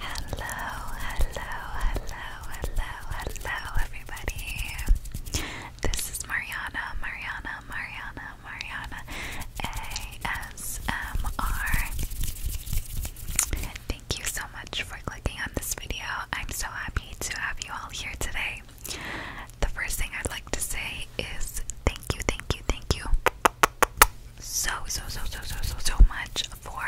Hello, hello, hello, hello, hello, everybody. This is Mariana, Mariana, Mariana, Mariana, ASMR. Thank you so much for clicking on this video. I'm so happy to have you all here today. The first thing I'd like to say is thank you, thank you, thank you so, so, so, so, so, so, so much for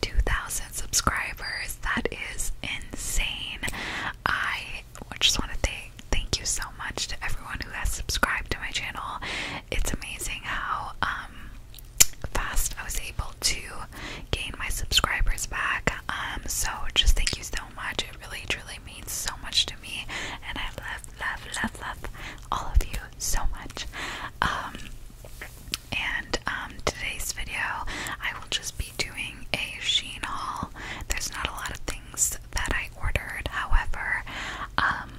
2,000 subscribers. That is insane. I just want to thank thank you so much to everyone who has subscribed to my channel. It's amazing how um, fast I was able to gain my subscribers back. Um, so just thank you so much. It really, truly really means so much to me, and I love, love, love, love all of you so much. Um, and um, today's video, I will just be doing a Sheen haul. There's not a lot of things that I ordered, however, um,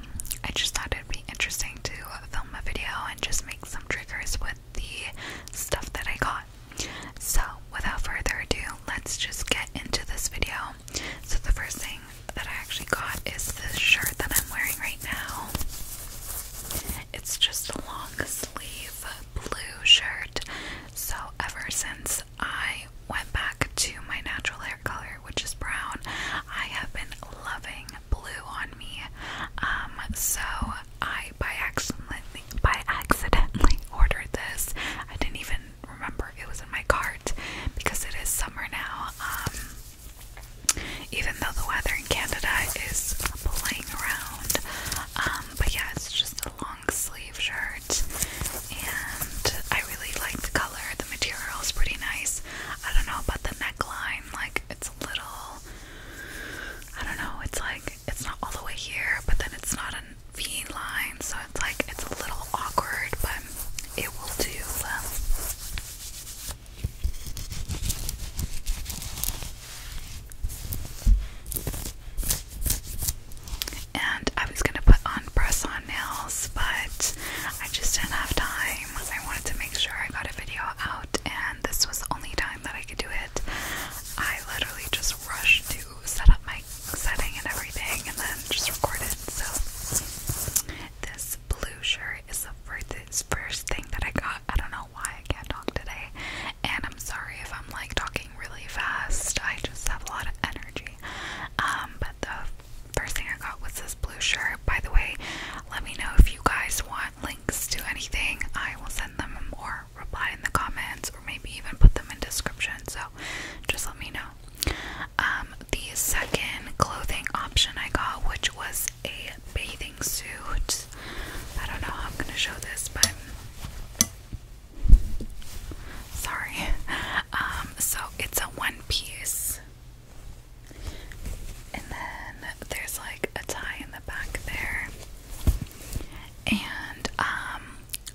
I just thought it'd be interesting to film a video and just make some triggers with the stuff that I got. So, without further ado, let's just get into this video. So, the first thing that I actually got is this shirt that I'm wearing right now. It's just a long sleeve blue shirt. So, ever since I went back to my natural hair color, which is brown, I have been loving blue on me. Um, so I by accidentally by accidentally ordered this. I didn't even remember it was in my cart because it is summer now. Um, even though the weather in Canada is playing around, um, but yeah, it's just a long sleeve shirt, and I really like the color. The material pretty nice. I don't know about the neckline; like, it's a little, I don't know. It's like it's not all the way here, but then it's not a V line, so it's like it's a little awkward, but it will do. Um, and I was gonna put on press on nails, but I just didn't have time. I wanted to make sure I got a video out, and this was the only time that I could do it. I literally just rushed to set up my setting and everything and then just record it. So this blue shirt is the first, first thing that I got. I don't know why I can't talk today. And I'm sorry if I'm like talking really fast. I just have a lot of energy. Um, but the first thing I got was this blue shirt. By the way, let me know if you guys want links to anything. I will send them or reply in the comments or maybe even put them in description. So just let me know. Um, the second clothing option I got, which was a bathing suit. I don't know how I'm gonna show this, but sorry. Um, so it's a one piece, and then there's like a tie in the back there, and um,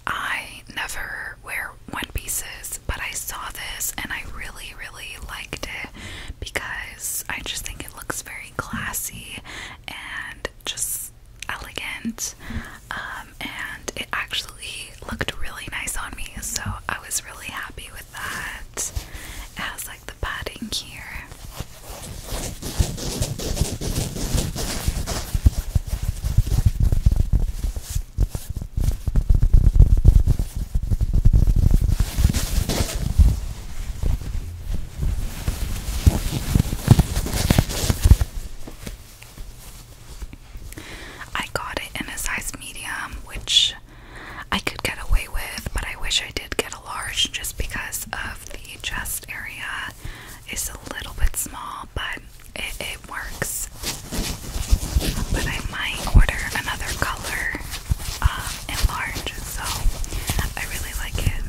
I never wear one pieces, but I saw this and I really, really liked it because I just think it looks very classy and just elegant. Um, and it actually looked really nice on me, so I was really happy with that. It has like the padding here. I got it in a size medium, which I could get away with, but I wish I did get a large just because of the chest area it's a little bit small, but it, works. But I might order another color in um, large, so I really like it.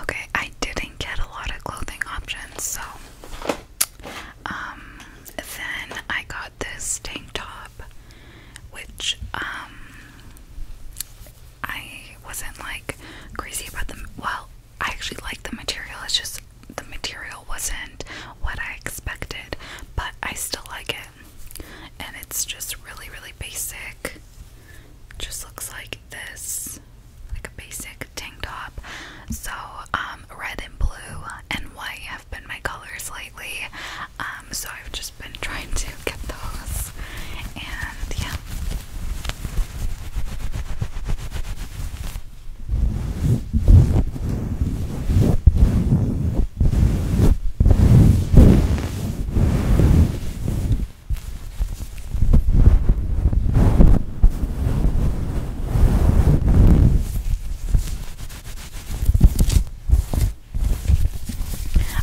Okay, I didn't get a lot of clothing options, so um, then I got this tank top, which um, I wasn't like crazy about them. Well, I actually liked the material. It's just the material wasn't what I expected, but I still like it. And it's just really, really basic. Just looks like this, like a basic tank top. So, um, red and blue and white have been my colors lately. Um, so I've just been trying to get those. And yeah.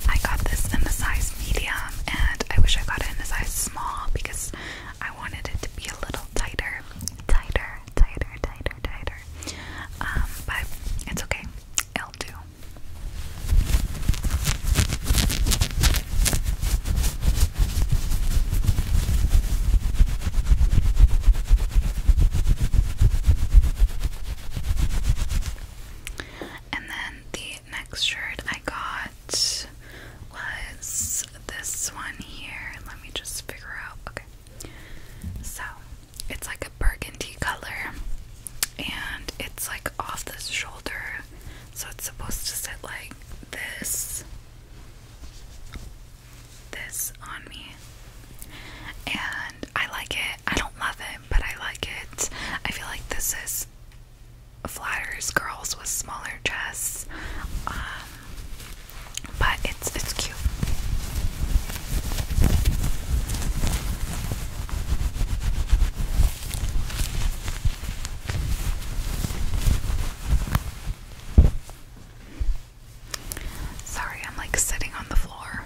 I got this in the size medium, and I wish I got it in the size small because I wanted it to be a little tighter, tighter, tighter, tighter, tighter. Um, but it's okay, i will do. And then the next shirt I got was this one here. Let me just figure out. Okay. So it's like a burgundy color and it's like off the shoulder. So it's supposed to sit like this this on me. And I like it. I don't love it, but I like it. I feel like this is flatters girls with smaller chests. Um, but it's it's cute. Sorry, I'm like sitting on the floor.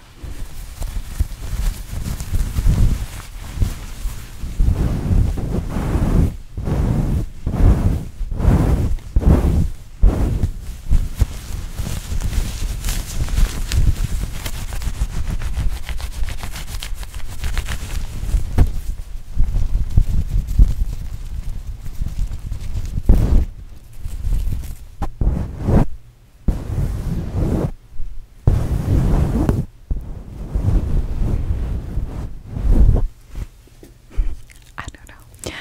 I don't know.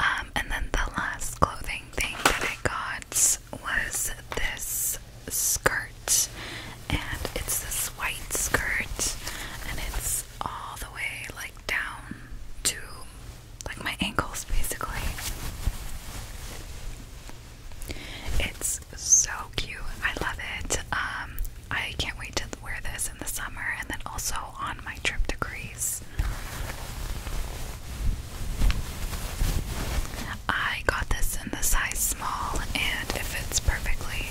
Um, and then the last clothing thing that I got was this skirt, and it's this white skirt, and it's all the way like down to like my ankles basically. It's so cute. I love it. Um, I can't wait to wear this in the summer and then also on my trip to Greece. I got this in the size small and it fits perfectly.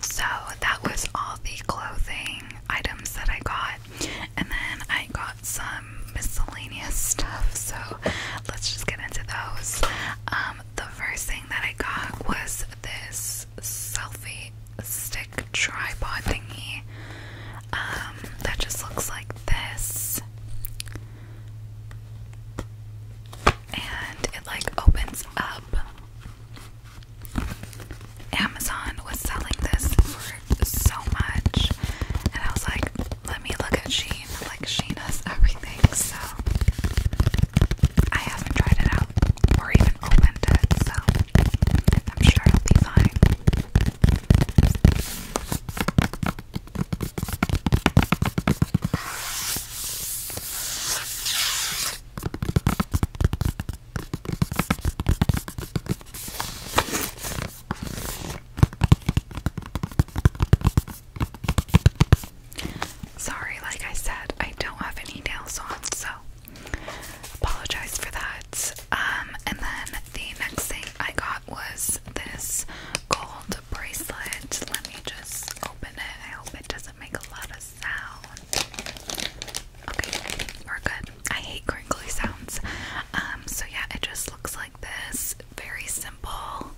So that was all the clothing items that I got, and then I got some miscellaneous stuff. So let's just get into those. Um, the first thing that I got was this selfie stick tripod thingy um, that just looks like this, and it like opens up Amazon was selling this for so much, and I was like, let me look at Sheen. Like, Sheen has everything, so I haven't tried it out or even opened it, so I'm sure it'll be fine. Sorry, like I said, I don't have any nails on, so apologize for that. Um, and then the next thing I got was this gold bracelet. Let me just open it. I hope it doesn't make a lot of sound. Okay, we're good. I hate crinkly sounds. Um, so yeah, it just looks like this. Very simple.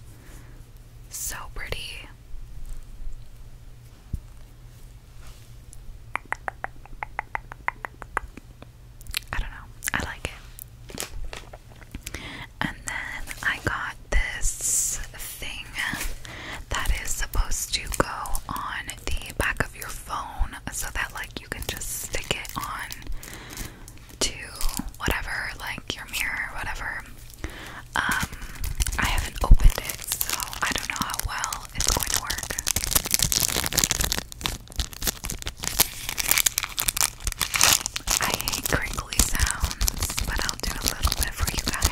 So pretty. I don't know. I like it. And then I got this thing that is supposed to go on the back of your phone so that, like, you can just stick it on to whatever, like your mirror, whatever. Um, I haven't opened it, so I don't know how well it's going to work. I hate crinkle crinkly sounds, but I'll do a little bit for you guys.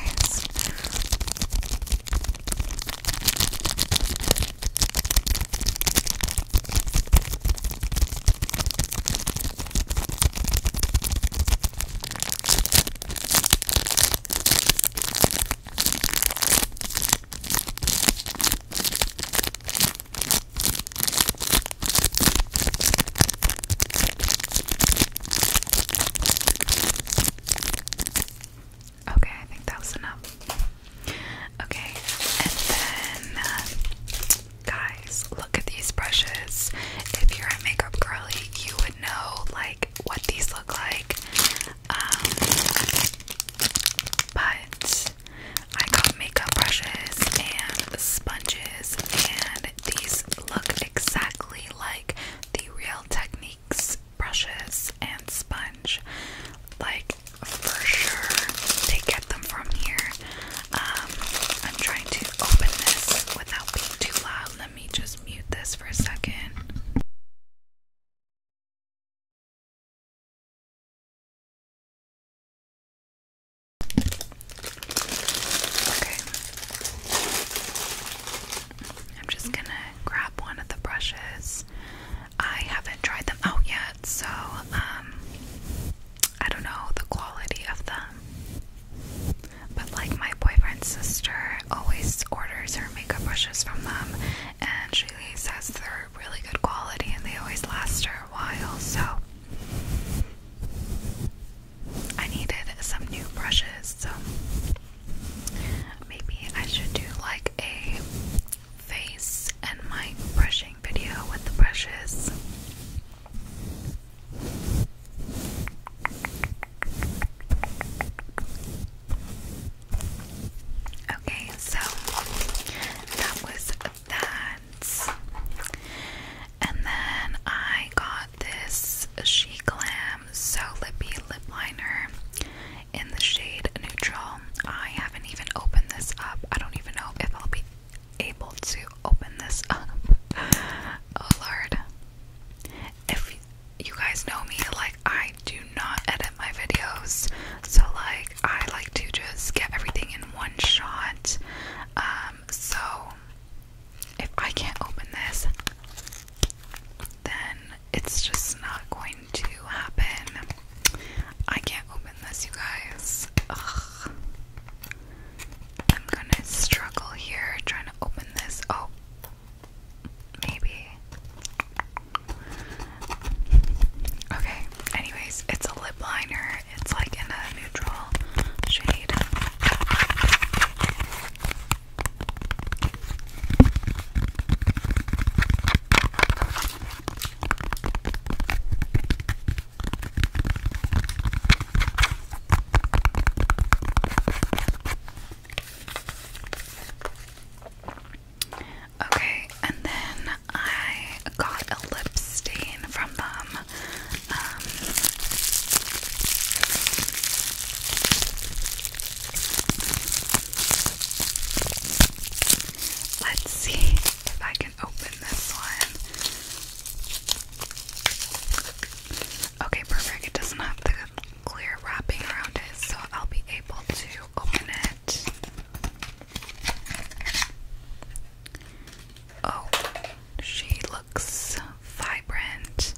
Okay, I think that was enough. Okay, and then uh, guys, look at these brushes. If you're a makeup girly, you would know like what these look like. Um, but I got makeup brushes and sponges and these look exactly like the Real Techniques brushes and sponge. Like, for sure, they get them from here. Um, I'm trying to open this without being too loud. Let me just mute this for a second. Okay. I'm just gonna grab one of the brushes. I haven't tried them out yet, so um, I don't know the quality of them. But like my boyfriend's sister always orders her makeup brushes from them and she says they're really good quality and they always last her a while, so I needed some new brushes, so maybe I should do like a face and my brushing video with the brushes. Okay, so that was that. And then I got this She Glam So Lippy Lip Liner in the shade Neutral. I haven't even opened this up. I don't even know if I'll be able to open this up. Oh lord. If you guys know me, like, I do not edit my videos. So, like, I like to just get everything in one shot. Um, so if I can't open this, then it's just not going to happen. I can't open this, you guys. Ugh. I'm gonna struggle here trying to open this. Oh, maybe. Okay, anyways, it's a lip liner it's like in a neutral shade. Okay, and then I got a lip stain from them. Um, let's see if I can open this one. Okay, perfect. It doesn't have the clear wrapping around it, so I'll be able to open it. Oh, she looks vibrant.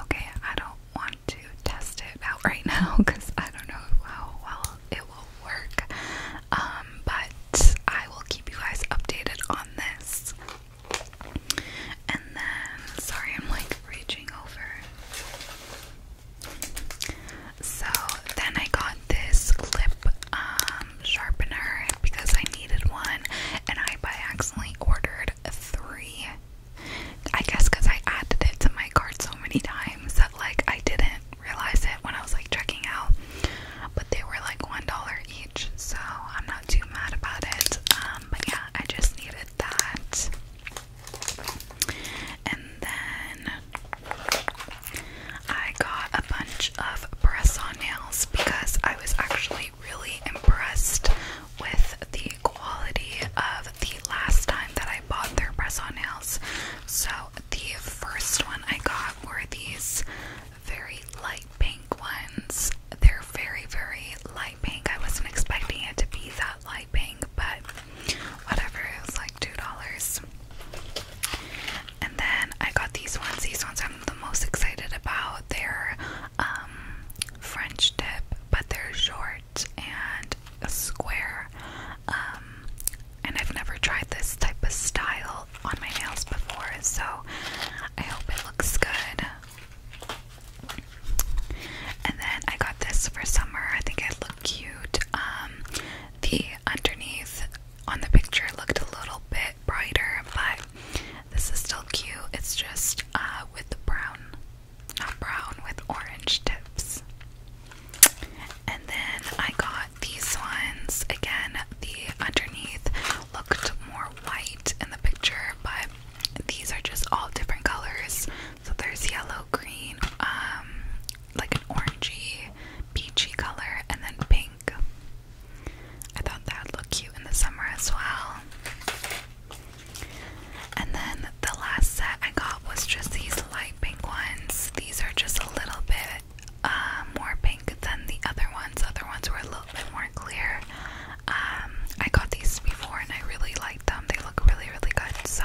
Okay, I don't want to test it out right now because I don't know how well it will work. Um, but I will keep you guys updated on this. And then, sorry, I'm like reaching over. So then I got this clip um, sharpener because I needed one, and I by accidentally ordered three. I guess because I added it to my cart so many times that like I didn't realize it when I was like checking out, but they were like one dollar each, so I'm not too mad about it. Um, but yeah, I just needed that. And then I got a bunch of press on nails because I was actually really impressed with the quality of the last time that I bought their press on nails. So the first one I got were these very light pink ones. They're very, very light pink. I wasn't expecting it to be that light pink, but whatever. It was like $2. And then I got these ones. These ones I'm the most excited about. They're um, French dip, but they're short and square. Um, and I've never tried this type of style on my nails before, so I hope it looks good. And then I got this for summer. I think it looked cute. Um, the underneath on the picture looked a little bit brighter, but this is still cute. It's just uh, with the brown, not brown, with orange tips. And then I got these ones. Again, the underneath looked more white in the picture, but these are just all different colors. So there's yellow, green, um, like an orangey, peachy color, and then pink. I thought that would look cute in the summer as well. And then the last set I got was just these light pink ones. These are just a little bit uh, more pink than the other ones. The other ones were a little bit more clear. Um, I got these before and I really like them. They look really, really good. So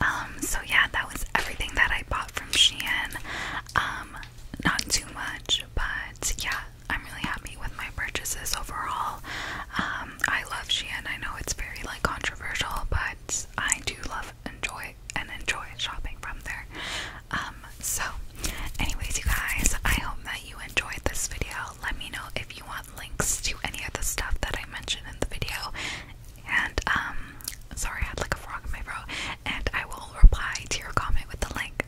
Um, so yeah, that was everything that I bought from Shein. Um, not too much, but yeah, I'm really happy with my purchases overall. Um, I love Shein. I know it's very like controversial, but I do love enjoy and enjoy shopping from there. Um, so anyways, you guys, I hope that you enjoyed this video. Let me know if you want links to any of the stuff that I mentioned in the video. And um, sorry, I had like a frog in my throat. And I will reply to your comment with the link.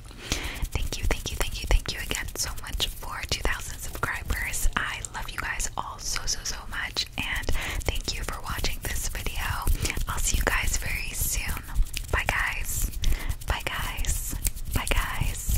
Thank you, thank you, thank you, thank you again so much for 2,000 subscribers. I love you guys all so so so much, and thank you for watching this video. I'll see you guys very soon. Bye guys. Bye guys. Bye guys.